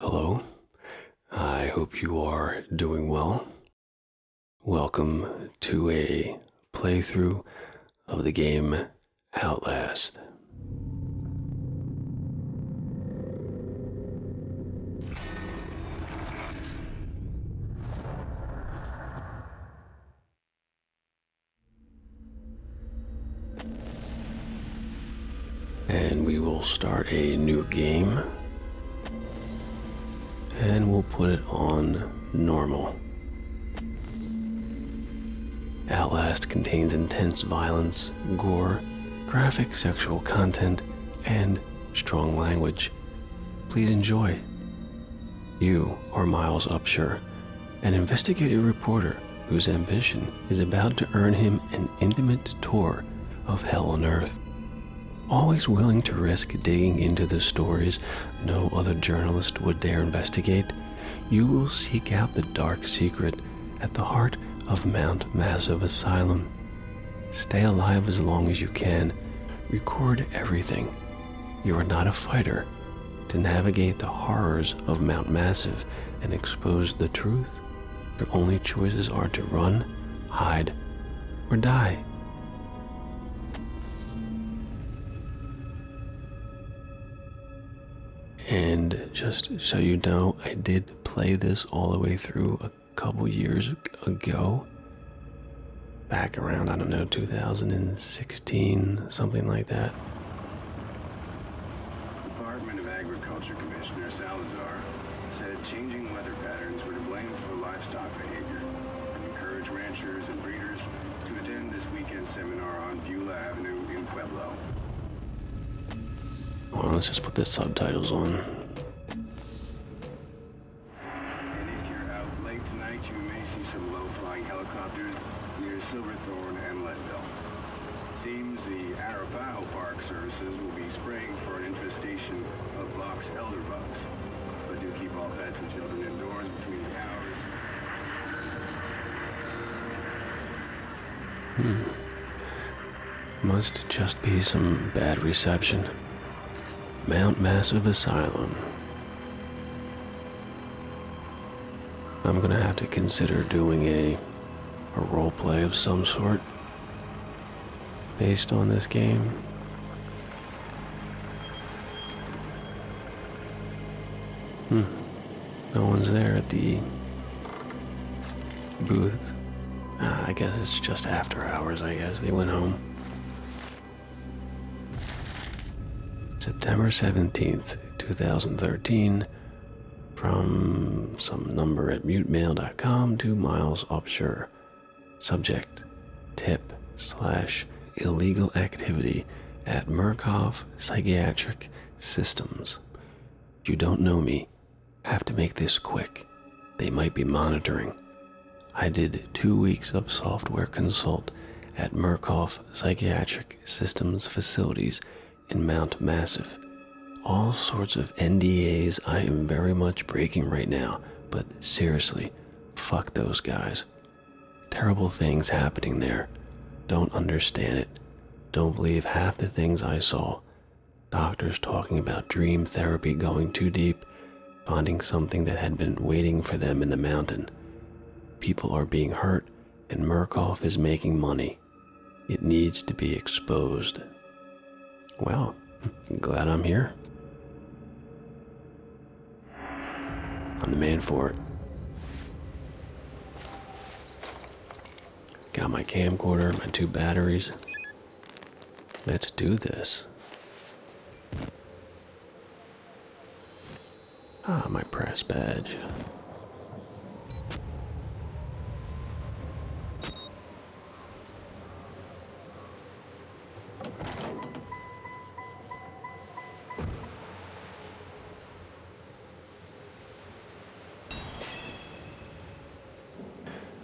Hello, I hope you are doing well. Welcome to a playthrough of the game Outlast. And we will start a new game. And we'll put it on normal. At last, contains intense violence, gore, graphic sexual content, and strong language. Please enjoy. You are Miles Upshur, an investigative reporter whose ambition is about to earn him an intimate tour of hell on earth. Always willing to risk digging into the stories no other journalist would dare investigate, you will seek out the dark secret at the heart of Mount Massive Asylum. Stay alive as long as you can. Record everything. You are not a fighter. To navigate the horrors of Mount Massive and expose the truth your only choices are to run, hide, or die. And just so you know, I did play this all the way through a couple years ago. Back around, I don't know, 2016, something like that. Department of Agriculture Commissioner Salazar said changing weather patterns were to blame for livestock behavior and encouraged ranchers and breeders to attend this weekend seminar on Beulah Avenue in Pueblo. Well, let's just put the subtitles on. And if you're out late tonight, you may see some low-flying helicopters near Silverthorne and Leadville. Seems the Arapaho Park services will be spraying for an infestation of box elder bugs. But do keep all pets and children indoors between the hours. Hmm. Must just be some bad reception. Mount Massive Asylum. I'm gonna have to consider doing a a role play of some sort based on this game. Hmm. No one's there at the booth. Ah, I guess it's just after hours, I guess. They went home. September 17th, 2013, from some number at mutemail.com to Miles Upshur. Subject Tip slash illegal activity at Murkov Psychiatric Systems. You don't know me. Have to make this quick. They might be monitoring. I did two weeks of software consult at Murkov Psychiatric Systems facilities in Mount Massive. All sorts of NDAs I am very much breaking right now, but seriously, fuck those guys. Terrible things happening there. Don't understand it. Don't believe half the things I saw. Doctors talking about dream therapy going too deep, finding something that had been waiting for them in the mountain. People are being hurt, and Murkoff is making money. It needs to be exposed. Well, glad I'm here. I'm the man for it. Got my camcorder, my two batteries. Let's do this. Ah, my press badge.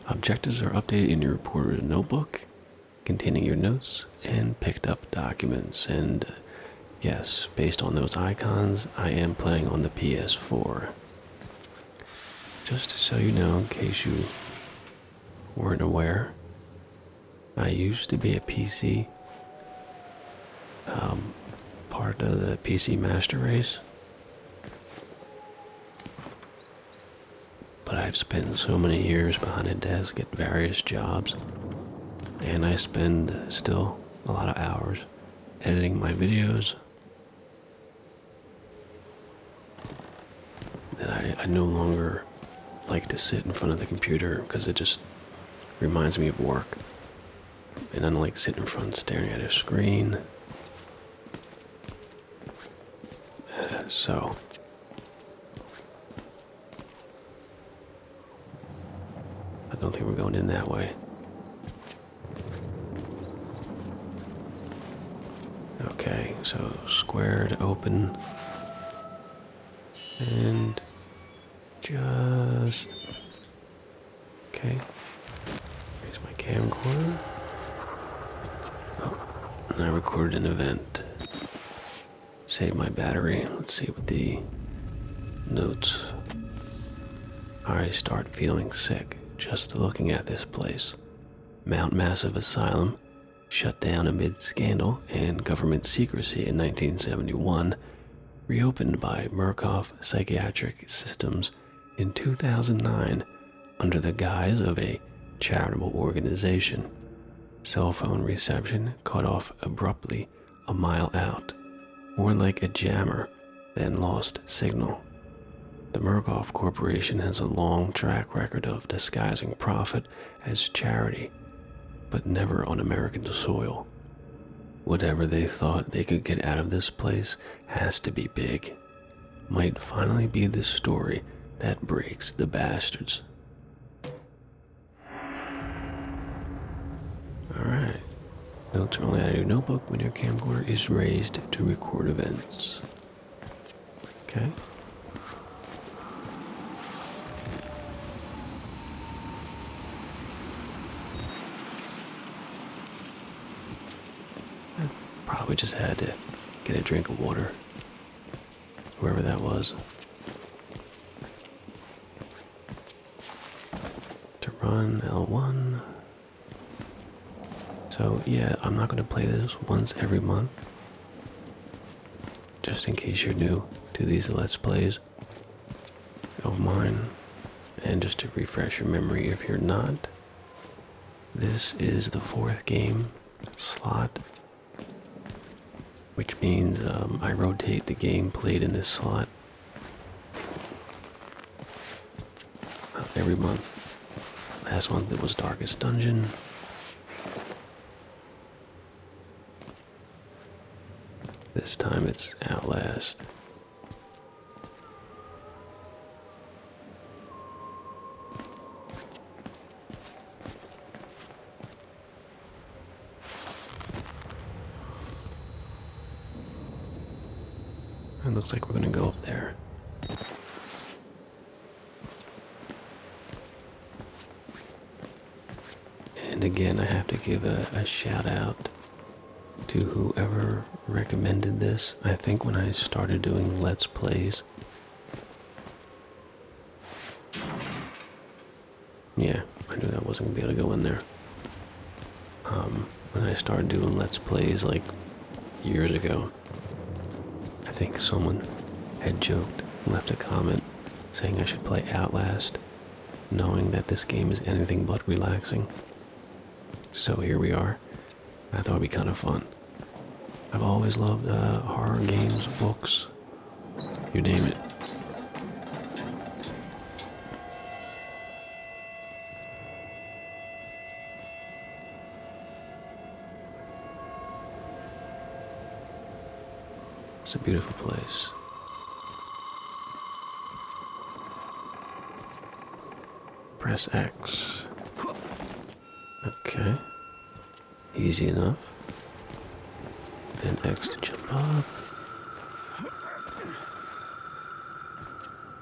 Objectives are updated in your reported notebook containing your notes and picked up documents. And uh, yes, based on those icons, I am playing on the PS4. Just to show you now, in case you weren't aware, I used to be a PC, um, part of the PC Master Race. But I've spent so many years behind a desk at various jobs, and I spend still a lot of hours editing my videos that I, no longer like to sit in front of the computer because it just reminds me of work. And I don't like sitting in front staring at a screen. so, I don't think we're going in that way. Okay, so square to open. And just... Okay. Here's my camcorder. Oh, and I recorded an event. Save my battery. Let's see what the notes I start feeling sick just looking at this place. Mount Massive Asylum, shut down amid scandal and government secrecy in 1971, reopened by Murkoff Psychiatric Systems in 2009 under the guise of a charitable organization. Cell phone reception cut off abruptly a mile out, more like a jammer then lost signal. The Murkoff Corporation has a long track record of disguising profit as charity, but never on American soil. Whatever they thought they could get out of this place has to be big. Might finally be the story that breaks the bastards. Alright. Notes are only out of your notebook when your camcorder is raised to record events. Okay. probably just had to get a drink of water, wherever that was. To run L1. So yeah, I'm not going to play this once every month. Just in case you're new to these Let's Plays of mine. And just to refresh your memory if you're not, this is the fourth game slot. Which means um, I rotate the game played in this slot every month. Last month it was Darkest Dungeon. This time it's Outlast. It looks like we're gonna go up there. And again, I have to give a, shout out to whoever recommended this. I think when I started doing Let's Plays, yeah, I knew I wasn't going to be able to go in there. Um, when I started doing Let's Plays like years ago. I think someone had joked, left a comment saying I should play Outlast, knowing that this game is anything but relaxing. So here we are. I thought it'd be kind of fun. I've always loved uh, horror games, books, you name it. It's a beautiful place. Press X. Okay. Easy enough. Then X to jump up.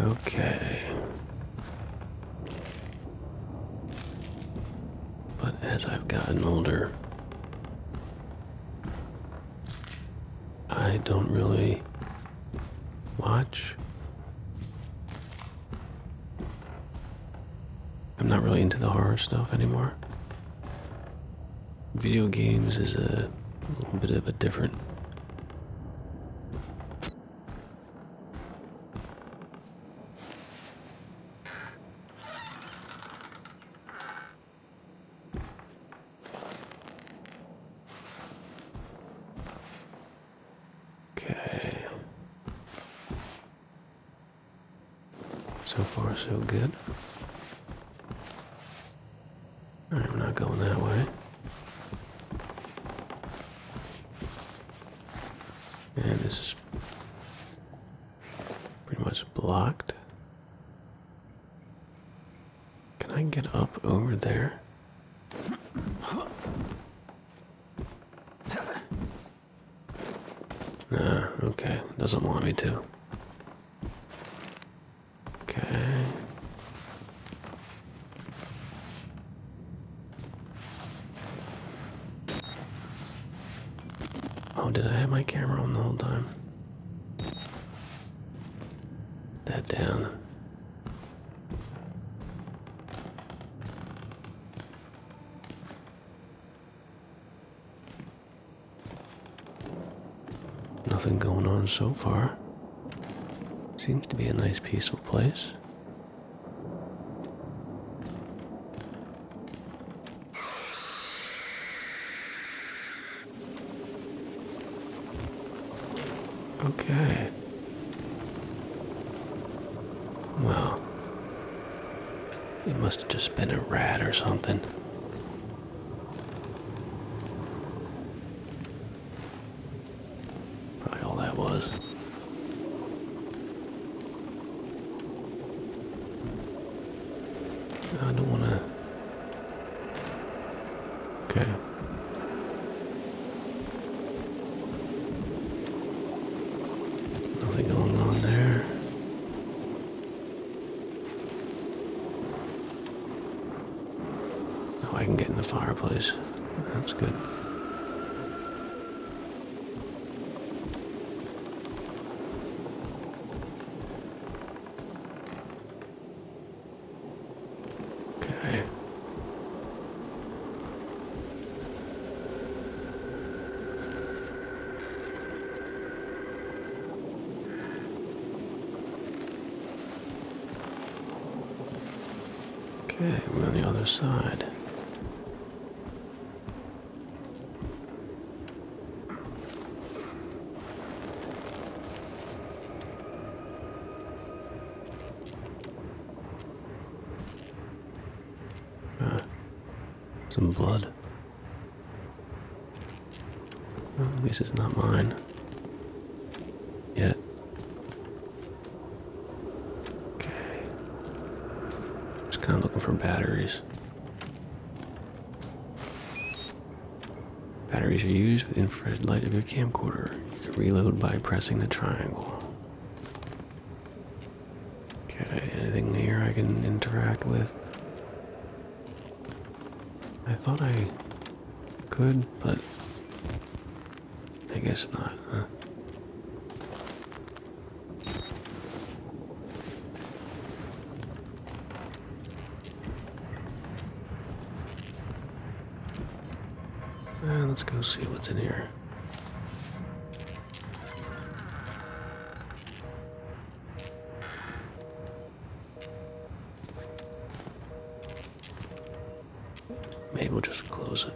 Okay. But as I've gotten older, I don't really watch. I'm not really into the horror stuff anymore. Video games is a little bit of a different Okay. So far, so good. Alright, we're not going that way. And this is pretty much blocked. Can I get up over there? Nah, okay, doesn't want me to. Okay. Oh, did I have my camera on the whole time? that down. Nothing going on so far. Seems to be a nice peaceful place. Okay. Well, it must have just been a rat or something. Probably all that was. I don't want to Okay. Nothing going on there. Oh, I can get in the fireplace. That's good. Okay. Okay, we're on the other side. Uh, some blood. This is not mine. Yet. Okay. Just kind of looking for batteries. Batteries are used with infrared light of your camcorder. You can reload by pressing the triangle. Okay, anything here I can interact with? I thought I could, but I guess not, huh? Uh, let's go see what's in here. Maybe we'll just close it.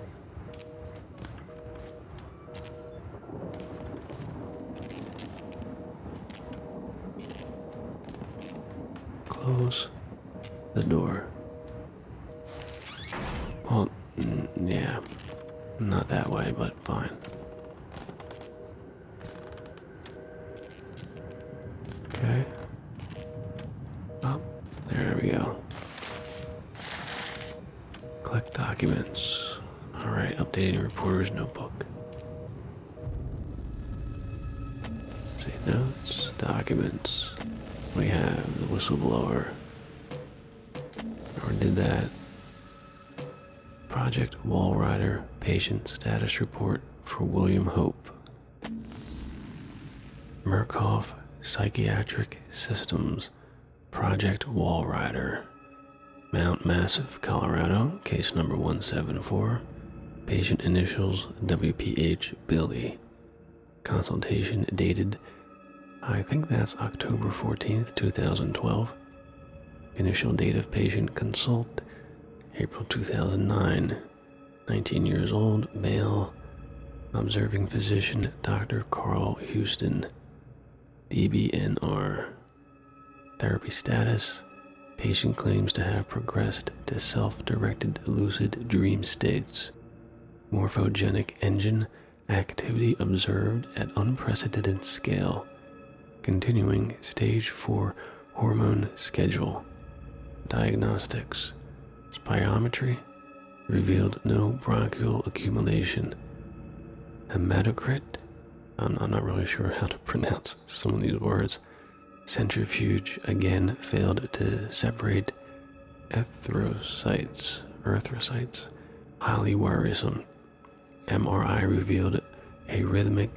Close the door. Oh, yeah, not that way, but fine. Okay. Up. Oh, there we go. Click documents. Alright, updating reporter's notebook. See notes, documents. We have the whistleblower. Or did that. Project Wall Rider patient status report for William Hope. Murkoff Psychiatric Systems Project Wall Rider. Mount Massive, Colorado case number 174, patient initials WPH Billy. Consultation dated, I think that's October 14th, 2012. Initial date of patient consult, April 2009. 19 years old, male. Observing physician, Dr. Carl Houston. DBNR Therapy status Patient claims to have progressed to self directed lucid dream states. Morphogenic engine activity observed at unprecedented scale. Continuing stage 4 hormone schedule. Diagnostics Spirometry revealed no bronchial accumulation. Hematocrit I'm, I'm not really sure how to pronounce some of these words centrifuge again failed to separate erythrocytes, erythrocytes, highly worrisome. MRI revealed a rhythmic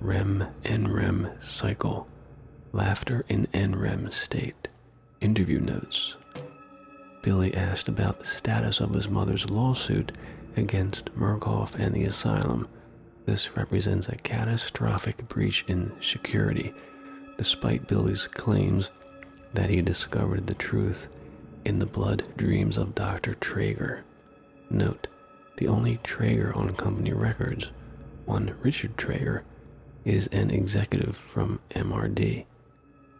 REM NREM cycle, laughter in NREM state. Interview notes. Billy asked about the status of his mother's lawsuit against Murkoff and the asylum, this represents a catastrophic breach in security, despite Billy's claims that he discovered the truth in the blood dreams of Dr. Traeger. Note, the only Traeger on company records, one Richard Traeger, is an executive from MRD.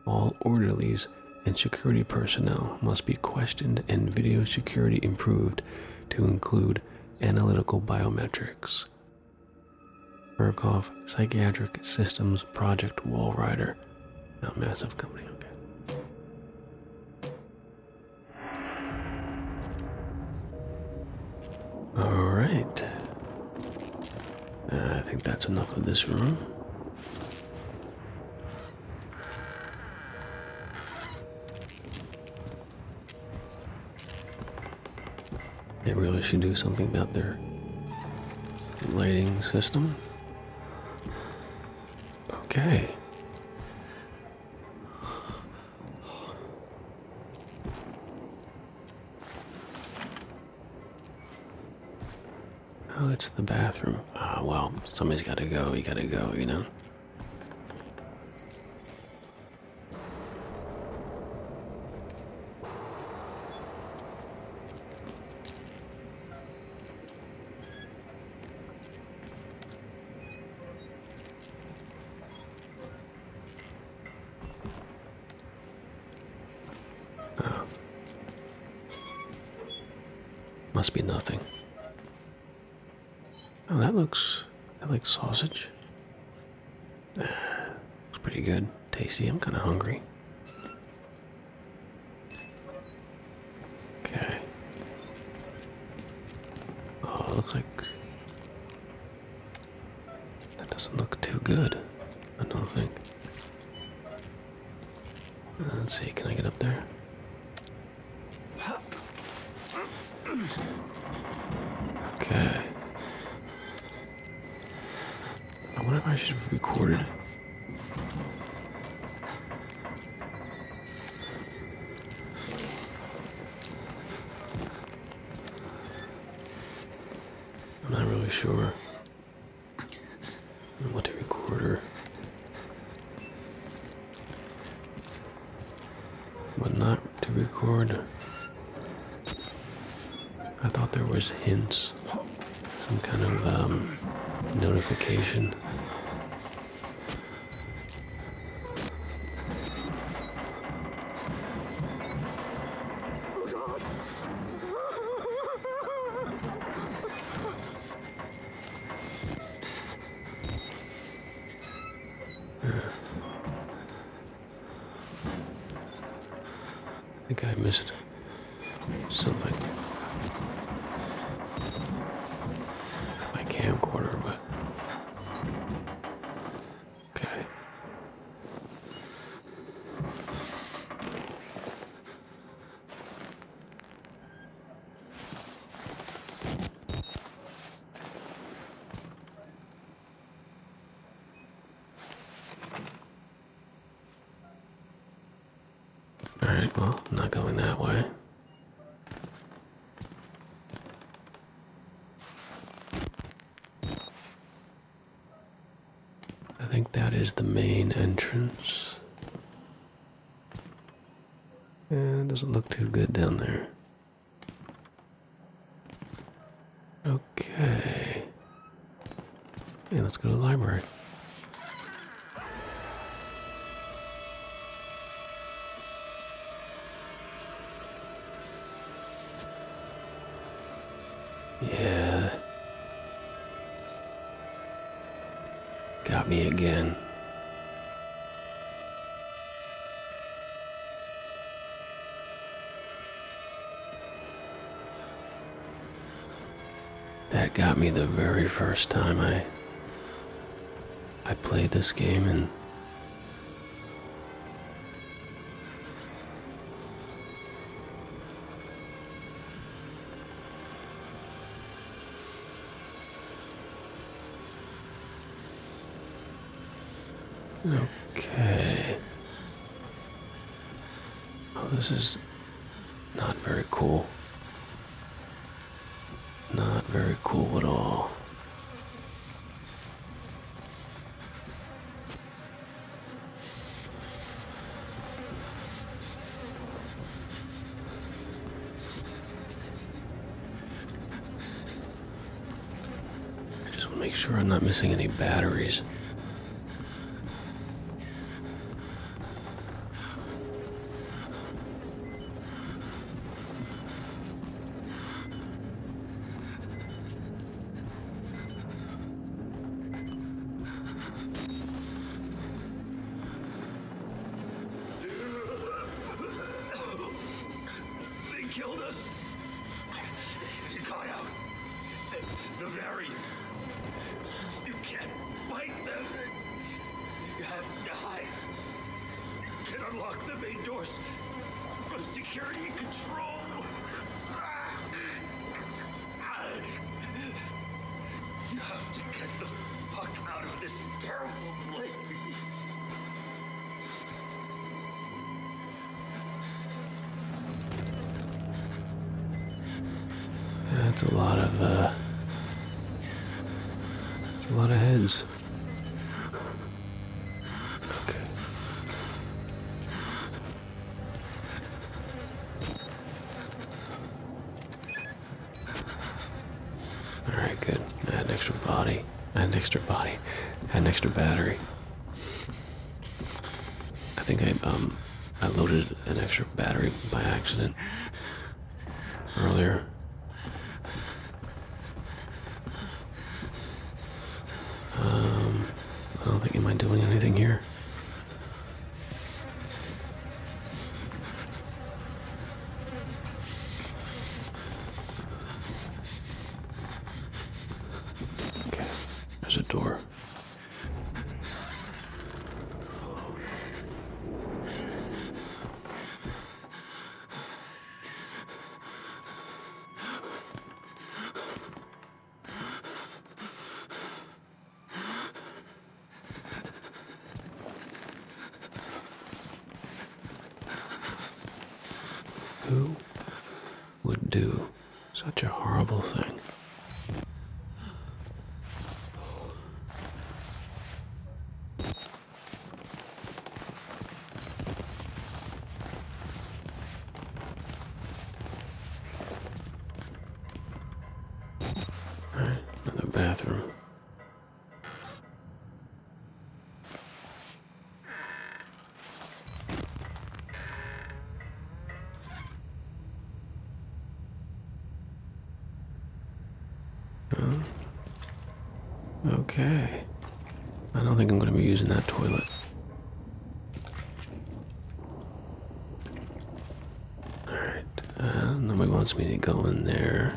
All orderlies and security personnel must be questioned and video security improved to include analytical biometrics. Burkhoff Psychiatric Systems Project Wall Rider. Now, massive company, okay. Alright. Uh, I think that's enough of this room. They really should do something about their lighting system. Okay. Oh, it's the bathroom. Ah, well, somebody's gotta go, you gotta go, you know? Oh. Must be nothing. Oh, that looks that like sausage. Looks pretty good, tasty. I'm kind of hungry. Okay. Oh, looks like that doesn't look too good. I don't think. Uh, let's see. Can I get up there? Okay. I wonder if I should have recorded. I'm not really sure what to record or but not to record. I thought there was hints, some kind of um, notification. I think I missed something. Not my camcorder, but... Okay. Alright, well, I'm not going that way. I think that is the main entrance. It doesn't look too good down there. Okay. Hey, let's go to the library. Yeah. Got me again. That got me the very first time I I played this game and Okay. Oh, this is not very cool. Not very cool at all. I just want to make sure I'm not missing any batteries. They killed us. They got out. The, the variants. You can't fight them. You have to hide. You can unlock the main doors from security control. You have to get the fuck out of this terrible place. That's a lot of, that's uh, a lot of heads. Alright, good. I had an extra body. I had an extra body. had an extra battery. I think I, um, I loaded an extra battery by accident earlier. Um, I don't think, am I doing anything here? Okay, there's a door. Who would do such a horrible thing? All right, another bathroom. Oh. Okay. I don't think I'm going to be using that toilet. Alright, uh, nobody wants me to go in there.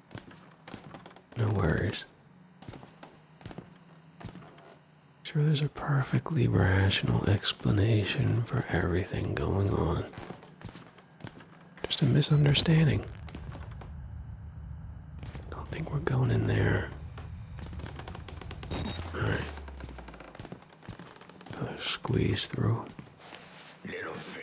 No worries. Sure, there's a perfectly rational explanation for everything going on. Just a misunderstanding. Don't think we're going in there. Alright. Another squeeze through. Little fake.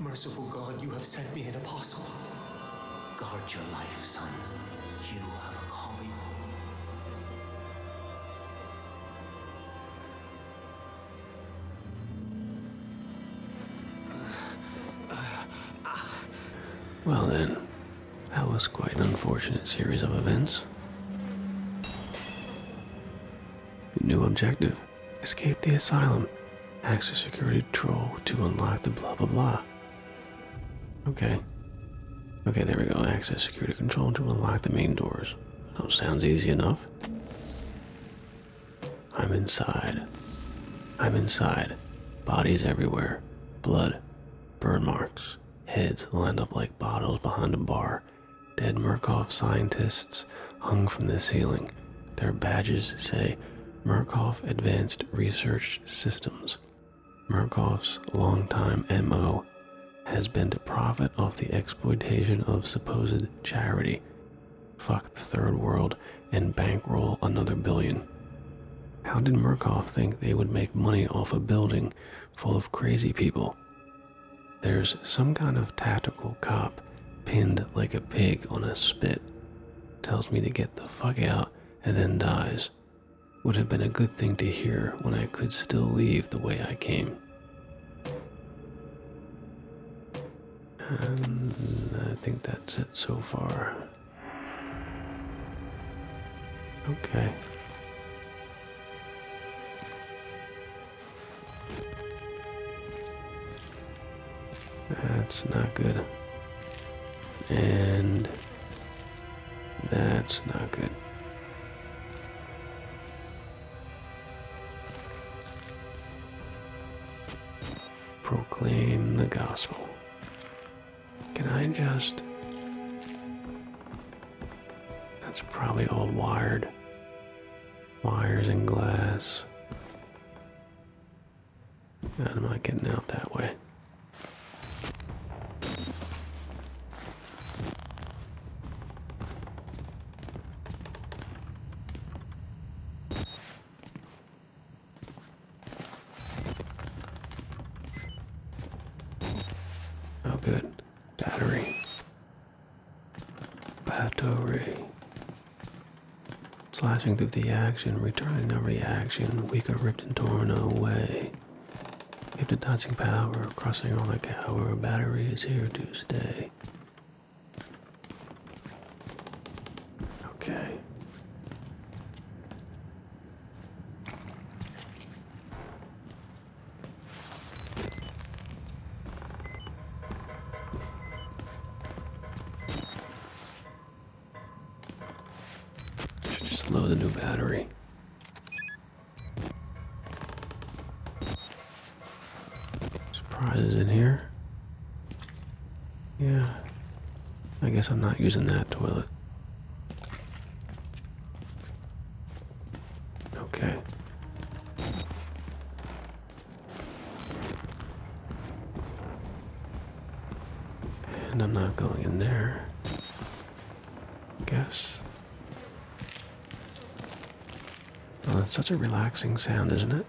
Merciful God, you have sent me an apostle. Guard your life, son. You have a calling. Well then, that was quite an unfortunate series of events. New objective. Escape the asylum. Access security control to unlock the blah blah blah. Okay. Okay, there we go. Access security control to unlock the main doors. Oh, sounds easy enough. I'm inside. I'm inside. Bodies everywhere. Blood. Burn marks. Heads lined up like bottles behind a bar. Dead Murkoff scientists hung from the ceiling. Their badges say Murkoff Advanced Research Systems. Murkoff's long-time MO has been to profit off the exploitation of supposed charity, fuck the third world, and bankroll another billion. How did Murkoff think they would make money off a building full of crazy people? There's some kind of tactical cop pinned like a pig on a spit, tells me to get the fuck out and then dies. Would have been a good thing to hear when I could still leave the way I came. I think that's it so far. Okay. That's not good. And that's not good. Proclaim the gospel. Can I just. That's probably all wired. Wires and glass. God, am I getting out that way? Oh, good. Battery. Battery. Slashing through the action, returning a reaction, we got ripped and torn away. If the dodging power, crossing on like our battery is here to stay. Okay just load the new battery. Surprises in here. Yeah. I guess I'm not using that toilet. Okay. And I'm not going in there. Guess. that's such a relaxing sound, isn't it?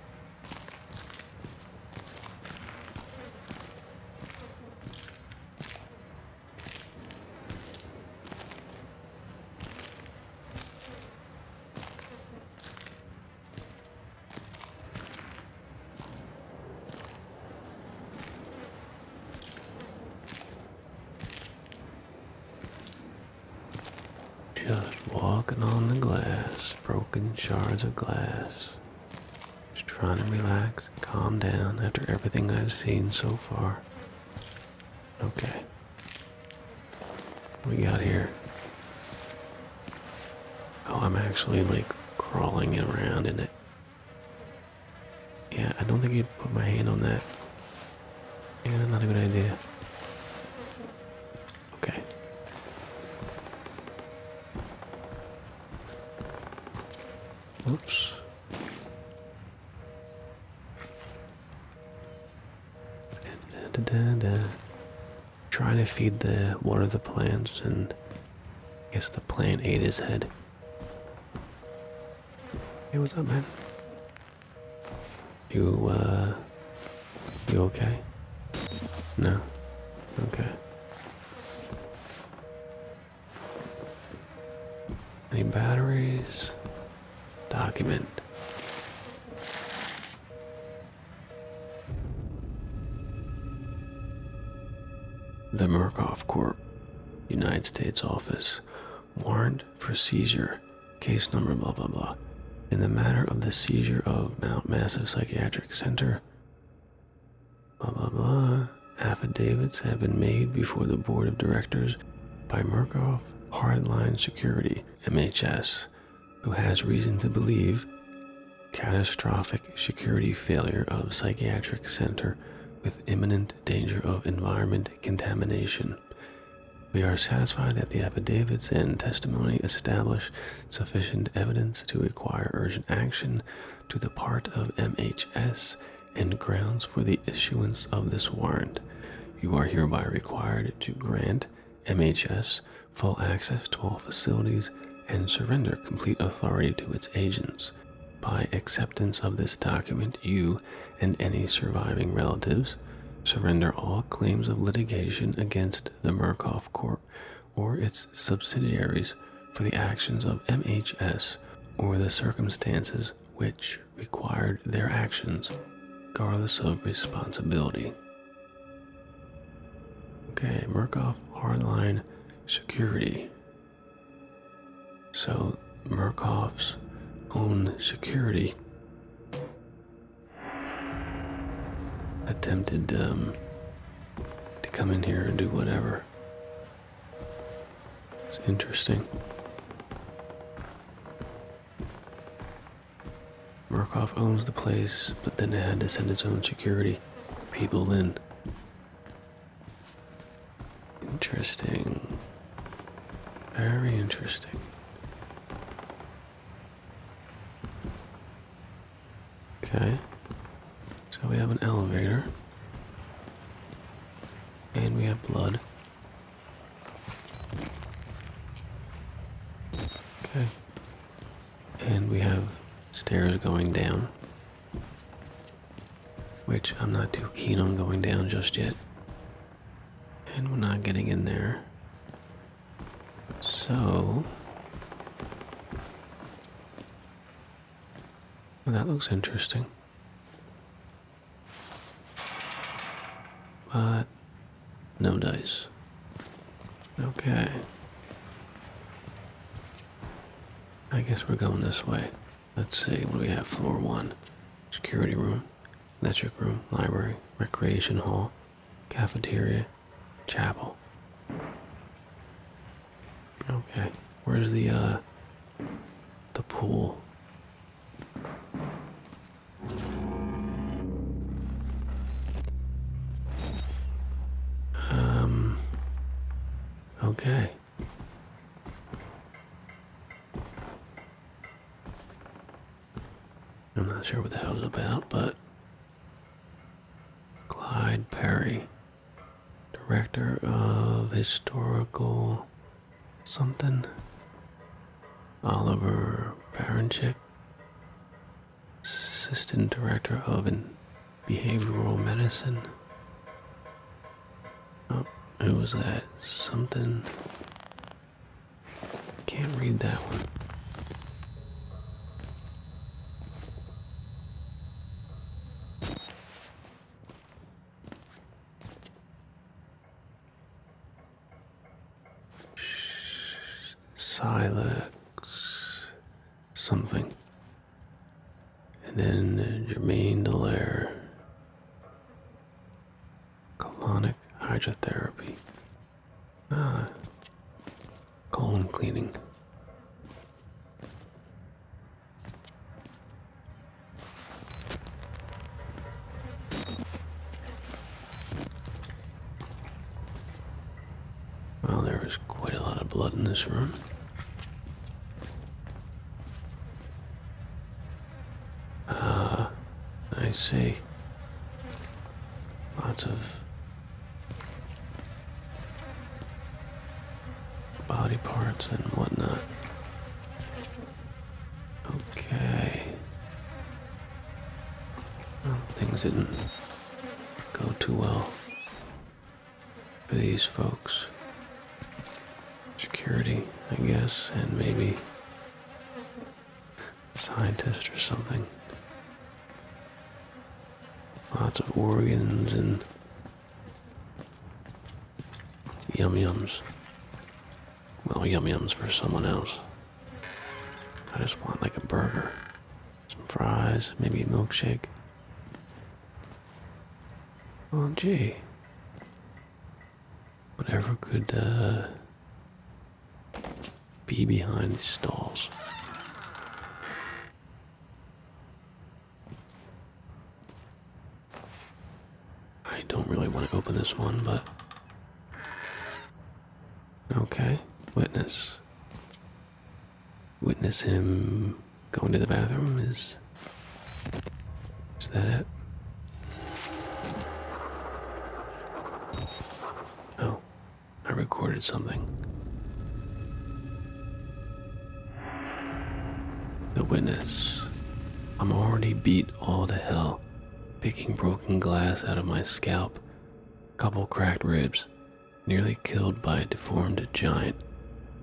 Just walking on the glass, broken shards of glass. Just trying to relax, calm down after everything I've seen so far. Okay. What we got here? Oh, I'm actually like crawling around in it. Yeah, I don't think I'd put my hand on that. Yeah, not a good idea. Okay. Oops trying to feed the water the plants and I guess the plant ate his head. Hey what's up man? You uh you okay? No? Okay. Any batteries? Document. The Murkoff Corp, United States Office, warrant for seizure, case number blah blah blah, in the matter of the seizure of Mount Massive Psychiatric Center. Blah blah blah. Affidavits have been made before the board of directors by Murkoff Hardline Security, MHS, who has reason to believe catastrophic security failure of psychiatric center with imminent danger of environment contamination. We are satisfied that the affidavits and testimony establish sufficient evidence to require urgent action to the part of MHS and grounds for the issuance of this warrant. You are hereby required to grant MHS full access to all facilities, and surrender complete authority to its agents. By acceptance of this document, you and any surviving relatives surrender all claims of litigation against the Murkoff Corp or its subsidiaries for the actions of MHS or the circumstances which required their actions, regardless of responsibility. Okay, Murkoff Hardline Security. So, Murkoff's own security attempted um, to come in here and do whatever. It's interesting. Murkoff owns the place, but then it had to send its own security people in. Interesting. Very interesting. Okay. So we have an elevator. And we have blood. Okay and we have stairs going down, which I'm not too keen on going down just yet. And we're not getting in there. So, that looks interesting. But no dice. Okay. I guess we're going this way. Let's see, what do we have? Floor 1. Security room, Lecture room, library, recreation hall, cafeteria, chapel. Okay. Where's the, uh, the pool? Um. Okay. I'm not sure what the hell it's about, but. Clyde Perry, director of historical something. Oliver Baranchik, assistant director of behavioral medicine. Oh, who was that? Something. Can't read that one. Silex something. And then Germaine Dallaire. Colonic hydrotherapy. Ah. Colon cleaning. Well, there quite a lot of blood in this room. Ah, I see. Lots of body parts and whatnot. Okay things didn't go too well for these folks. Security, I guess, and maybe scientist or something. Lots of organs and yum yums. Well, yum yums for someone else. I just want like a burger, some fries, maybe a milkshake. Oh, gee. Whatever could uh, be behind these stalls. I don't really want to open this one, but Okay, witness. Witness him going to the bathroom is. Is that it? Oh, I recorded something. The witness. I'm already beat all to hell, picking broken glass out of my scalp Couple cracked ribs, nearly killed by a deformed giant.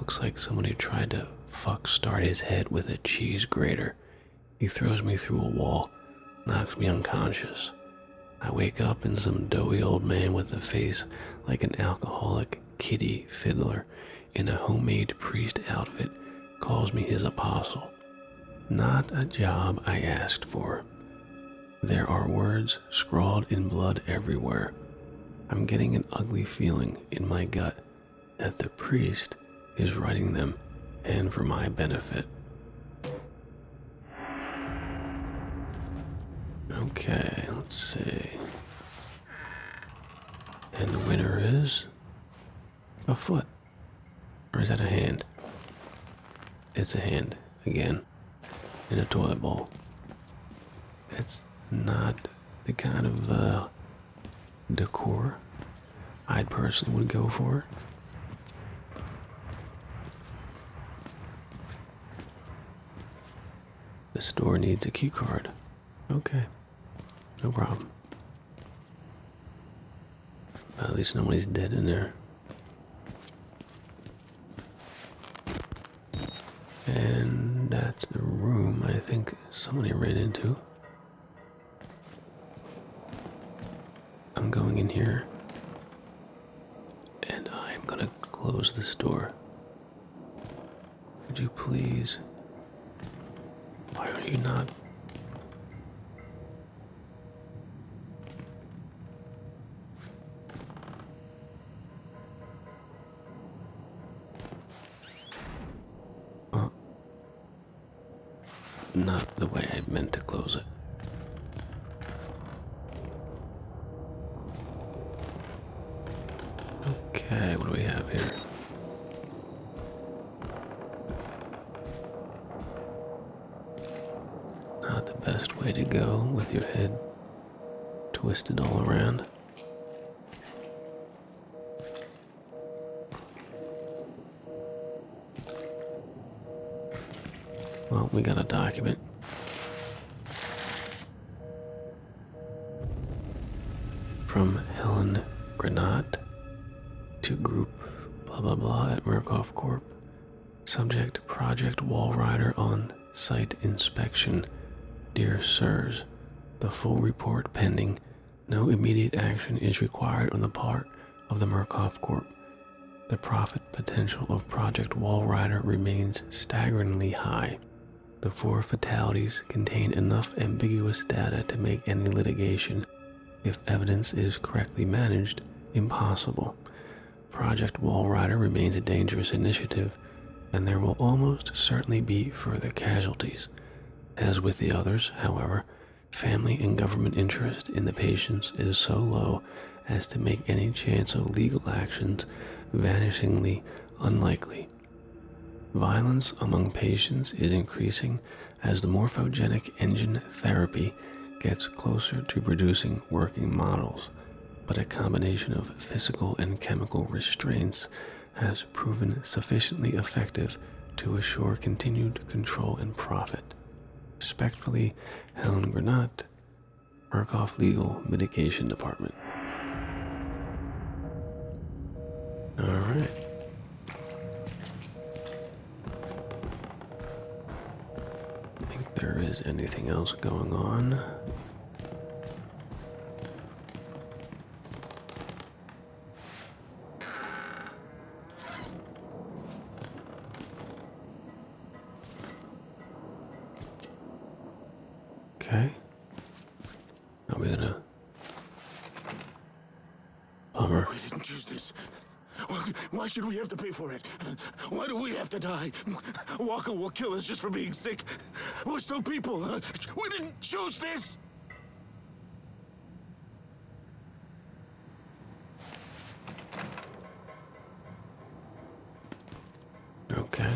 Looks like someone who tried to fuck start his head with a cheese grater. He throws me through a wall, knocks me unconscious. I wake up in some doughy old man with a face like an alcoholic kitty fiddler in a homemade priest outfit calls me his apostle. Not a job I asked for. There are words scrawled in blood everywhere. I'm getting an ugly feeling in my gut that the priest is writing them and for my benefit. Okay, let's see. And the winner is a foot. Or is that a hand? It's a hand again in a toilet bowl. That's not the kind of uh, decor I personally would go for. This door needs a key card. Okay, no problem. At least nobody's dead in there. And that's the room I think somebody ran into. I'm going in here. And I'm gonna close this door. Would you please? Why are you not Oh. Not the way I meant to close it. Okay, what do we have here? Not the best way to go with your head twisted all around. Well, we got a document. From Helen Granat to Group blah blah blah at Murkoff Corp. Subject Project Wall Rider on site inspection. Dear sirs, the full report pending. No immediate action is required on the part of the Murkoff Corp. The profit potential of Project Wall Rider remains staggeringly high. The four fatalities contain enough ambiguous data to make any litigation if evidence is correctly managed, impossible. Project Wall Rider remains a dangerous initiative, and there will almost certainly be further casualties. As with the others, however, family and government interest in the patients is so low as to make any chance of legal actions vanishingly unlikely. Violence among patients is increasing as the morphogenic engine therapy gets closer to producing working models, but a combination of physical and chemical restraints has proven sufficiently effective to assure continued control and profit. Respectfully, Helen Granat, Murkoff Legal Mitigation Department. All right think there is anything else going on. Okay. I'm gonna. Bummer. Why should we have to pay for it? Why do we have to die? Walker will kill us just for being sick. We're still people. We didn't choose this. Okay.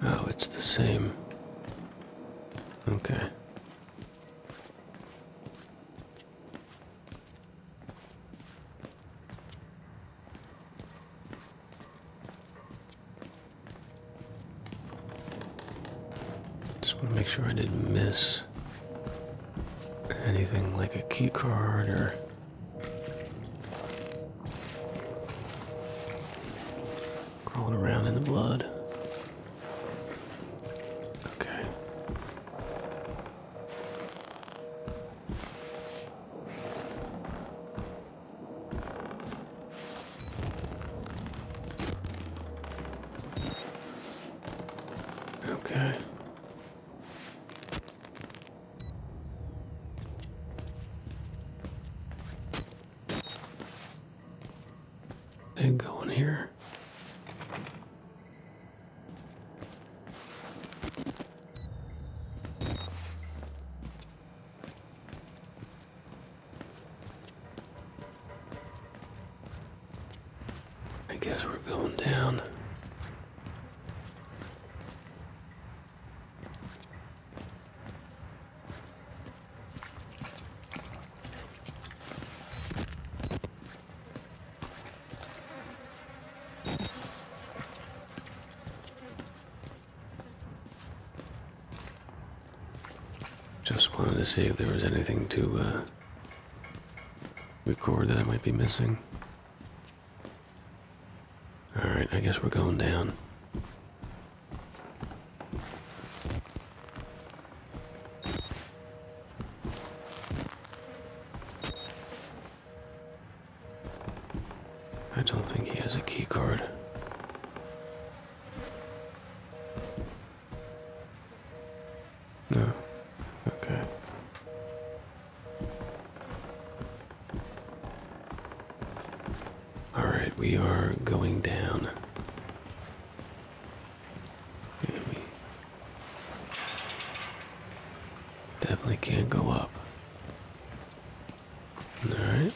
Oh, it's the same. Okay. Just want to make sure I didn't miss anything like a keycard or crawling around in the blood. Okay. Okay. And go in here. I guess we're going down. Just wanted to see if there was anything to uh, record that I might be missing. Alright, I guess we're going down. I don't think he has a key card. No. Okay. All right, we are going down. definitely can't go up. All right.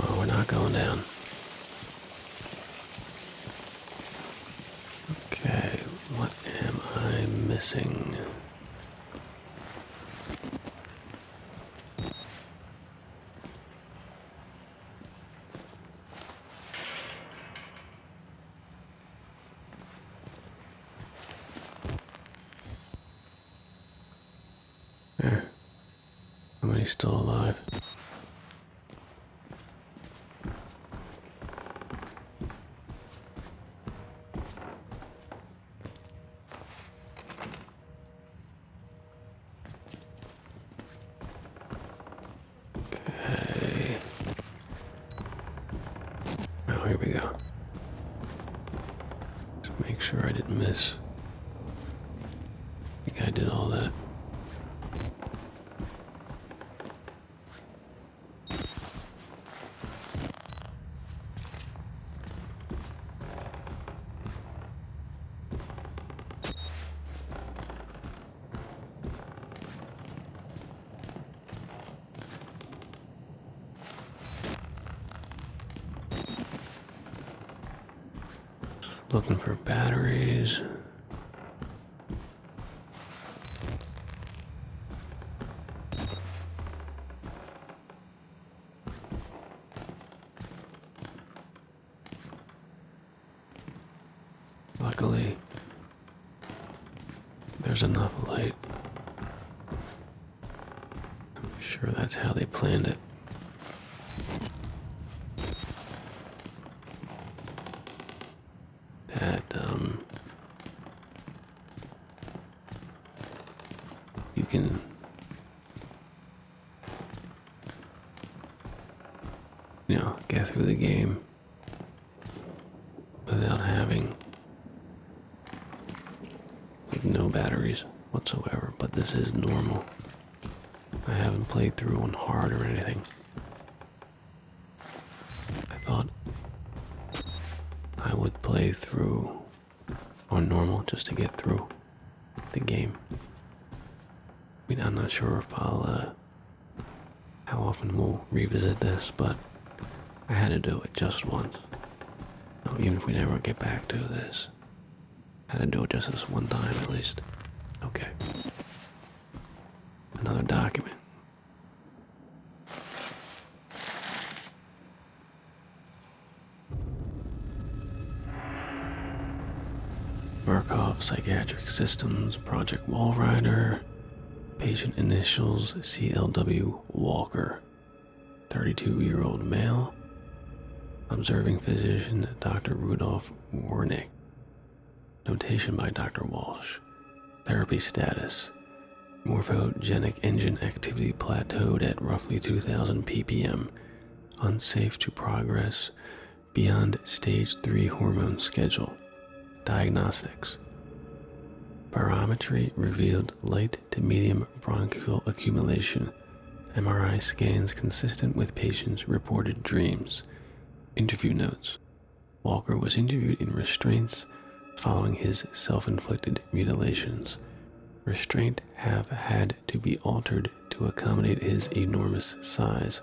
Oh, we're not going down. Okay, what am I missing? There. How many's still alive? Okay. Oh, here we go. Just make sure I didn't miss. I think I did all that looking for batteries. Luckily, there's enough light. I'm sure that's how they planned it. That, um, you can you know, get through the game without having like no batteries whatsoever, but this is normal. I haven't played through one hard or anything. I thought I would play through on normal just to get through the game. I mean, I'm not sure if I'll, uh, how often we'll revisit this, but I had to do it just once. even if we never get back to this, I had to do it just this one time at least. Okay. Another document. Barkov Psychiatric Systems Project Wall Rider, patient initials CLW Walker, 32 year old male, observing physician Dr. Rudolph Wernick. notation by Dr. Walsh, therapy status Morphogenic engine activity plateaued at roughly 2000 ppm, unsafe to progress beyond stage 3 hormone schedule. Diagnostics Barometry revealed light to medium bronchial accumulation. MRI scans consistent with patients' reported dreams. Interview notes Walker was interviewed in restraints following his self inflicted mutilations, restraint have had to be altered to accommodate his enormous size.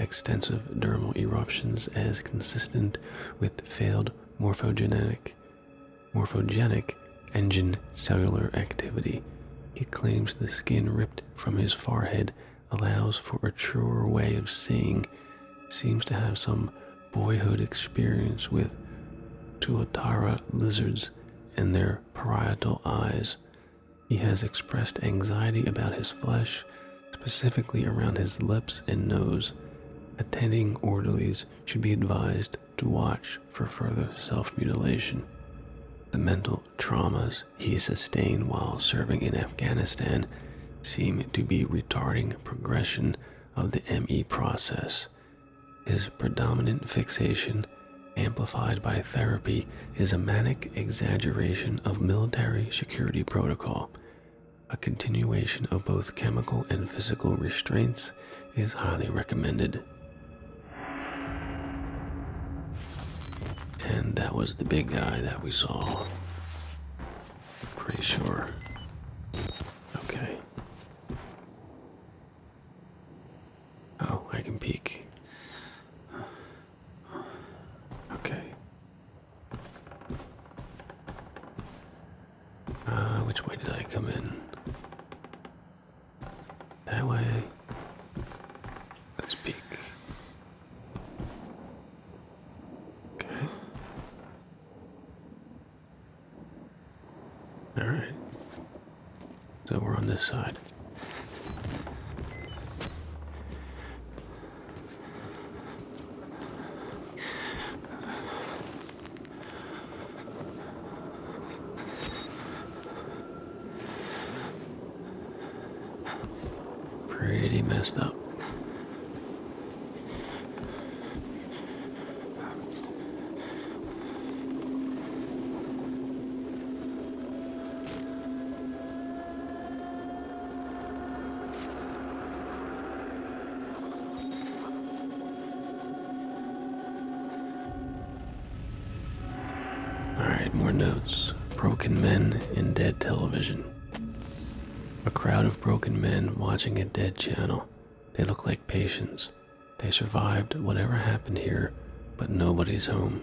Extensive dermal eruptions, as consistent with failed morphogenetic, morphogenic engine cellular activity. He claims the skin ripped from his forehead allows for a truer way of seeing, seems to have some boyhood experience with tuatara lizards and their parietal eyes. He has expressed anxiety about his flesh, specifically around his lips and nose. Attending orderlies should be advised to watch for further self mutilation. The mental traumas he sustained while serving in Afghanistan seem to be retarding progression of the ME process. His predominant fixation, amplified by therapy, is a manic exaggeration of military security protocol. A continuation of both chemical and physical restraints is highly recommended. And that was the big guy that we saw. Pretty sure. Okay. Oh, I can peek. Okay. Uh, which way did I come in? That way. Let's peek. Okay. All right. So we're on this side. Pretty messed up. Alright, more notes. Broken men in dead television. A crowd of broken men watching a dead channel. They look like patients. They survived whatever happened here, but nobody's home.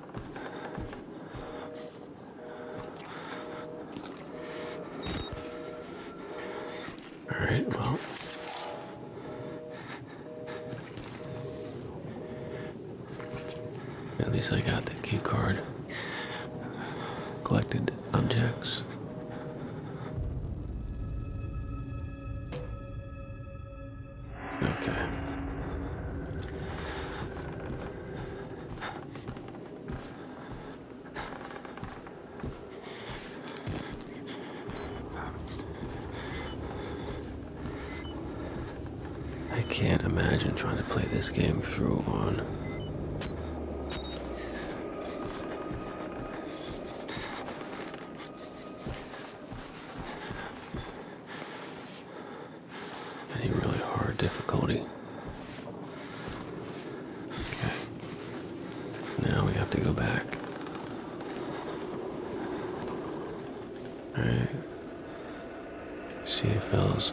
Alright, well. At least I got the key card. Collected objects. Okay. I can't imagine trying to play this game through on any really hard difficulty. Okay. Now we have to go back. Alright. See it fills.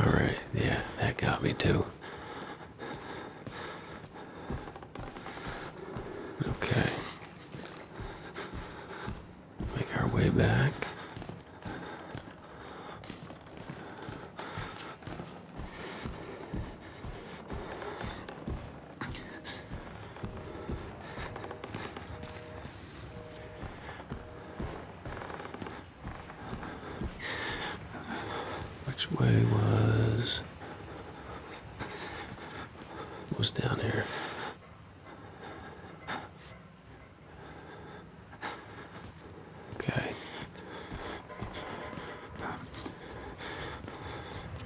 Alright, yeah, that got me too. Okay. Make our way back. Which way was... was down here? Okay.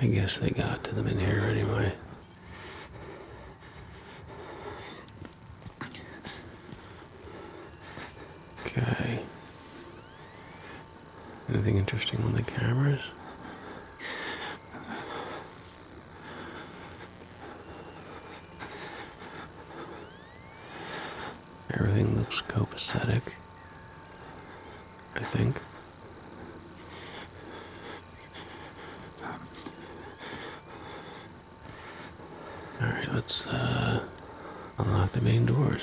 I guess they got to them in here anyway. Okay. Anything interesting on the cameras? Everything looks copacetic, I think. All right, let's uh, unlock the main doors.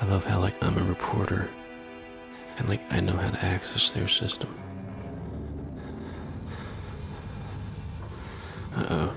I love how like I'm a reporter and like I know how to access their system. Uh oh.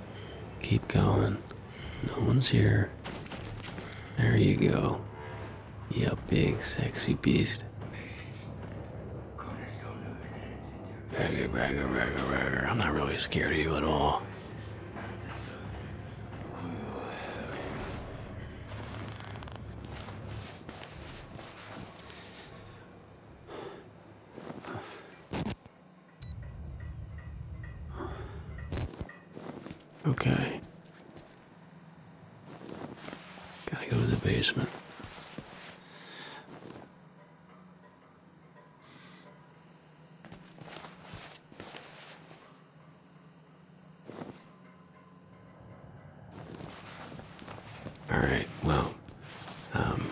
Keep going. No one's here. There you go. You big, sexy beast. Ragger, ragger, ragger, ragger. I'm not really scared of you at all. Okay. Gotta go to the basement. Alright, well, um, I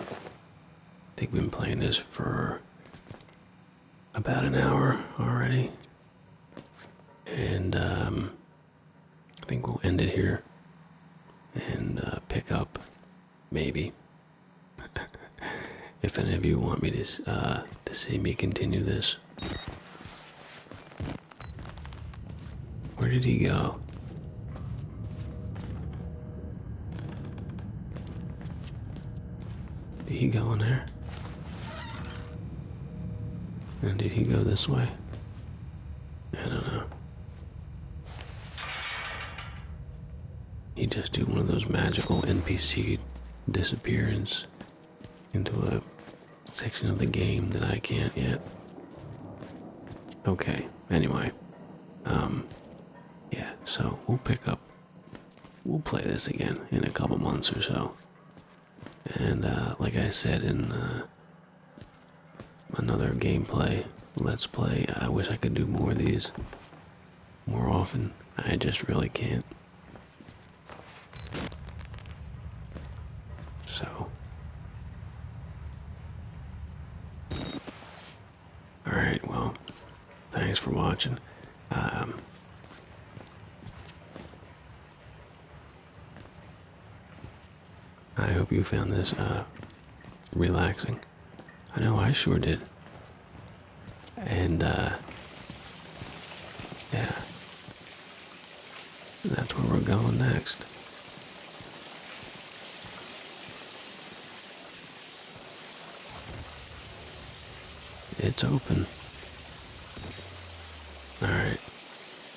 think we've been playing this for about an hour already. And um, I think we'll end it here and uh, pick up maybe. if any of you want me to, uh, to see me continue this. Where did he go? Did he go in there? And did he go this way? I don't know. He just did one of those magical NPC disappearance into a section of the game that I can't yet. Okay anyway, um, yeah, so we'll pick up, we'll play this again in a couple months or so. And, uh, like I said in, uh, another gameplay, let's play, I wish I could do more of these more often. I just really can't. So. All right, well, thanks for watching. Um, I hope you found this uh, relaxing. I know I sure did. And, uh, yeah. That's where we're going next. It's open. Alright.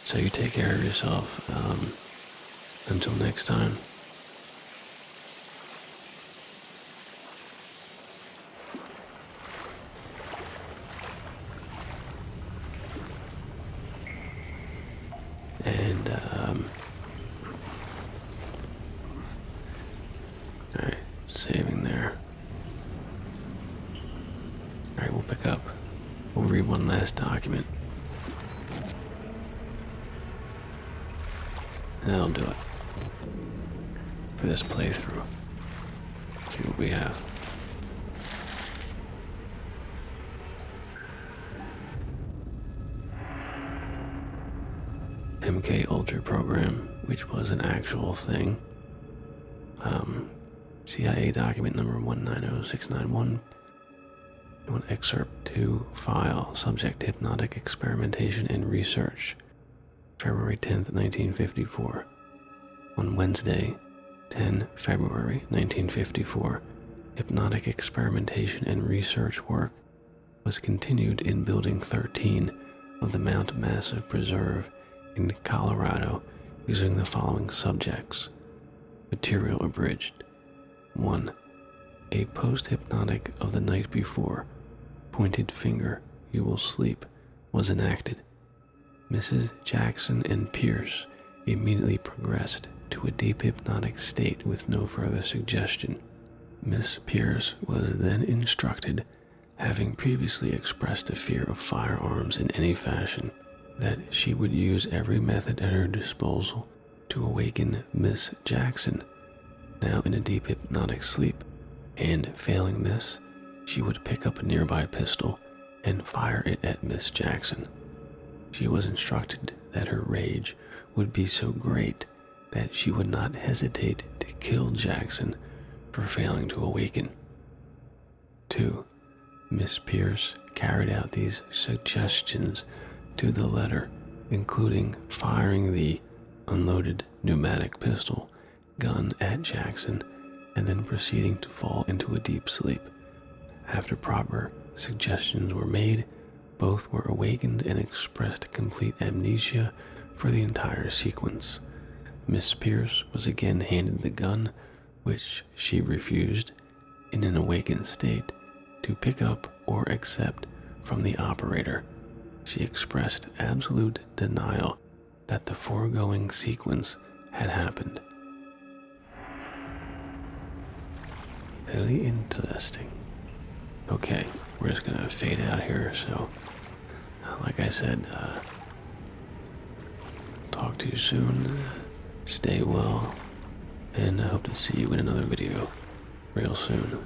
So you take care of yourself. Um, until next time. And, um, Alright, saving there. Alright, we'll pick up. We'll read one last document. And that'll do it. For this playthrough. see what we have. MK Ultra program, which was an actual thing. Um, CIA document number 190691. I excerpt 2 file, subject hypnotic experimentation and research, February 10th, 1954. On Wednesday, 10 February 1954, hypnotic experimentation and research work was continued in Building 13 of the Mount Massive Preserve in Colorado using the following subjects Material abridged. 1. A post hypnotic of the night before, pointed finger, you will sleep, was enacted. Mrs. Jackson and Pierce immediately progressed to a deep hypnotic state with no further suggestion. Miss Pierce was then instructed, having previously expressed a fear of firearms in any fashion, that she would use every method at her disposal to awaken Miss Jackson, now in a deep hypnotic sleep, and failing this, she would pick up a nearby pistol and fire it at Miss Jackson. She was instructed that her rage would be so great that she would not hesitate to kill Jackson for failing to awaken. 2. Miss Pierce carried out these suggestions to the letter, including firing the unloaded pneumatic pistol gun at Jackson and then proceeding to fall into a deep sleep. After proper suggestions were made, both were awakened and expressed complete amnesia for the entire sequence. Miss Pierce was again handed the gun, which she refused, in an awakened state, to pick up or accept from the operator. She expressed absolute denial that the foregoing sequence had happened. Very interesting. Okay, we're just gonna fade out here. So, uh, like I said, uh, talk to you soon. Stay well, and I hope to see you in another video real soon.